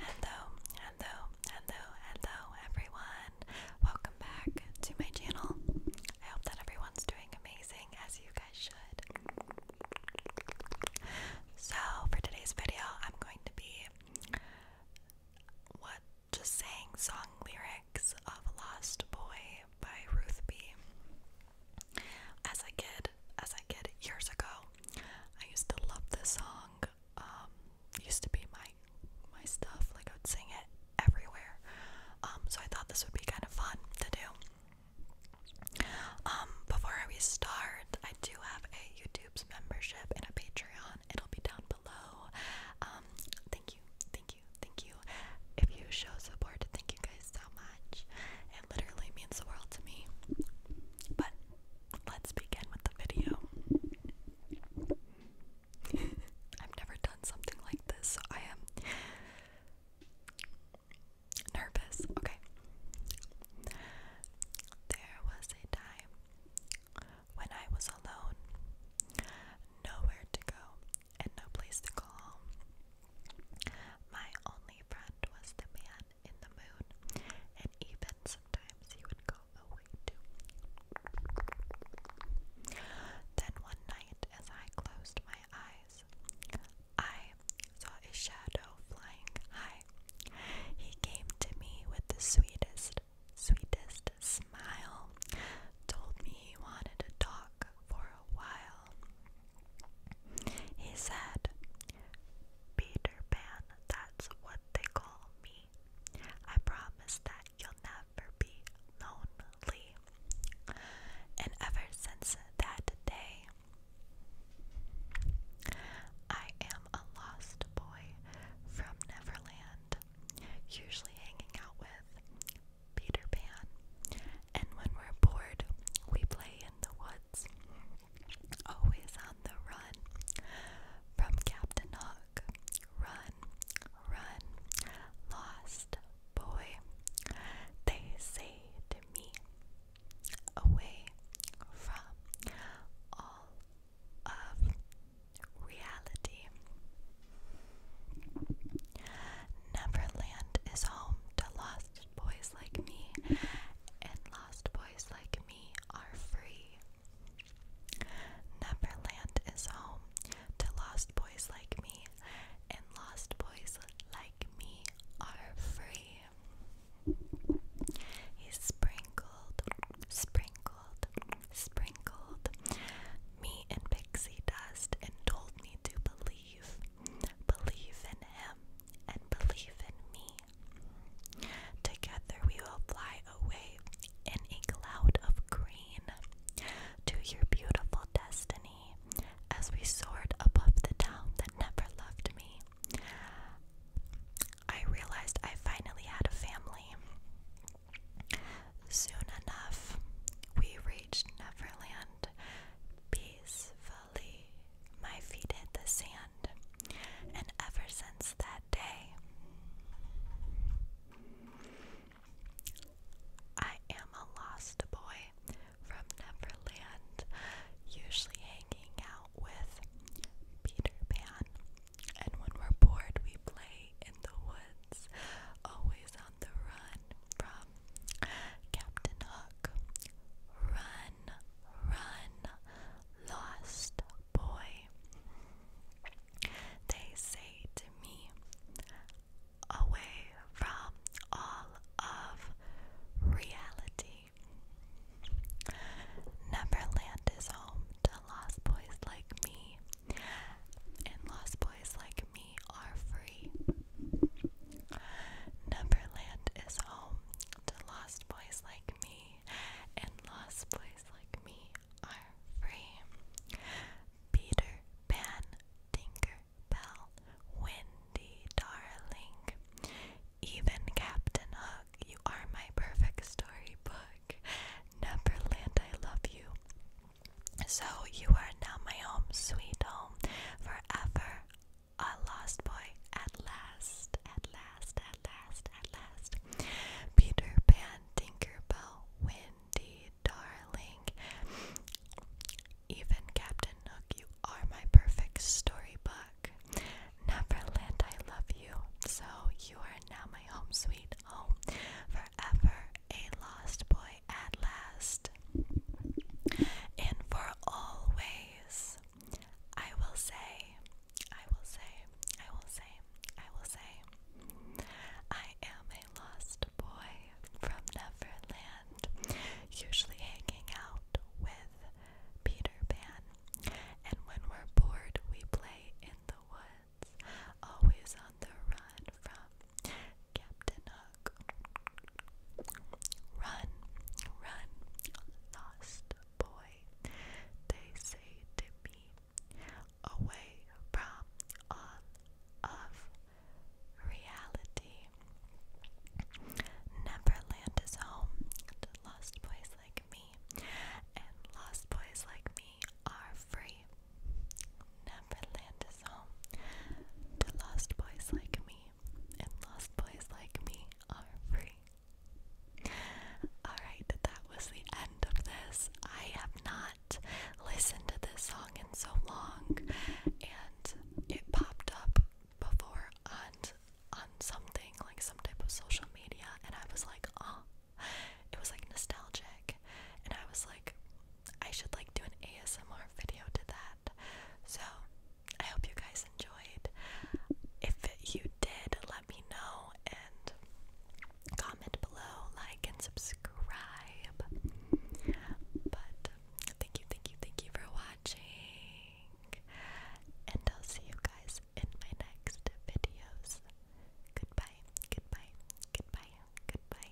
Hello, hello, hello, hello, everyone. Welcome back to my channel. I hope that everyone's doing amazing as you guys should. So, for today's video, I'm going to be what just saying song lyrics of Lost Boy by Ruth B. As a kid, as a kid years ago, I used to love this song um, used to be my my stuff. Like I would sing it everywhere. Um, so I thought this would be kind of fun to do. Um, before we start, I do have a YouTube's membership and a Patreon. It'll be down below. thank you, thank you, thank you. If you show support, thank you guys so much. It literally means the world to me. But let's begin with the video. I've never done something like this, so I am nervous. Okay. There was a time when I was alone, nowhere to go, and no place to call home. My only friend was the man in the moon, and even sometimes he would go away too. Then one night, as I closed my eyes, I saw a shadow flying high. He came to me with the sweetest, sweetest smile, told me he wanted to talk for a while. He said, Peter Pan, that's what they call me. I promise that you'll never be lonely. And ever since that day, I am a lost boy from Neverland, usually hanging out with Peter Pan. And when we're bored, we play in the woods always on the run from Captain Hook. Run, run, lost boy. They say to me, away from all of reality. Neverland is home to lost boys like me and lost boys like me are free. Neverland is home to lost boys like me, and lost boys like me are free. He sprinkled, sprinkled, sprinkled me in pixie dust and told me to believe, believe in him, and believe in me. Together we will fly away in a cloud of green to your beautiful destiny as we soared above the town that never loved me. I realized I finally had a family. Soon enough, we reached Neverland, peaceful my feet in the sand, and ever since that day, I am a lost boy from Neverland, usually hanging out with Peter Pan. And when we're bored, we play in the woods, always on the run from Captain Hook, Run, Run, Lost Boy. They say to me, away from all of reality. Neverland is home to lost boys like me, and lost boys like me are for story. Neverland is home to lost boys like me, and lost boys like me are free. Peter Pan, Tinker Bell, Wendy, darling, even Captain Hook, you are my perfect storybook. Neverland, I love you. So you are now my home, sweet home, forever a lost boy at last, at last, at last, at last. Peter Pan, Tinkerbell, Wendy, darling. Even Captain Hook, you are my perfect storybook. Neverland, I love you. So you are now my home sweet home. Forever a lost boy at last. And for always, I will say, I will say, I will say, I will say, I am a lost boy from Neverland, usually hanging out with Peter Pan. And when we're bored, we play in the woods, always on the run from Captain Hook. Run, run, lost boy, they say to me, away from of reality. Neverland is home to lost boys like me, and lost boys like me are free. Neverland so, to lost boys like me, and lost boys like me are free. Alright, that was the end of this. I have not listened to this song in so long, and it popped up before on on something like some type of social media, and I was like, oh, it was like nostalgic, and I was like, I should like do an ASMR video to that. So I hope you guys enjoyed. If you did, let me know and comment below, like and subscribe. But thank you, thank you, thank you for watching. And I'll see you guys in my next videos. Goodbye, goodbye, goodbye, goodbye.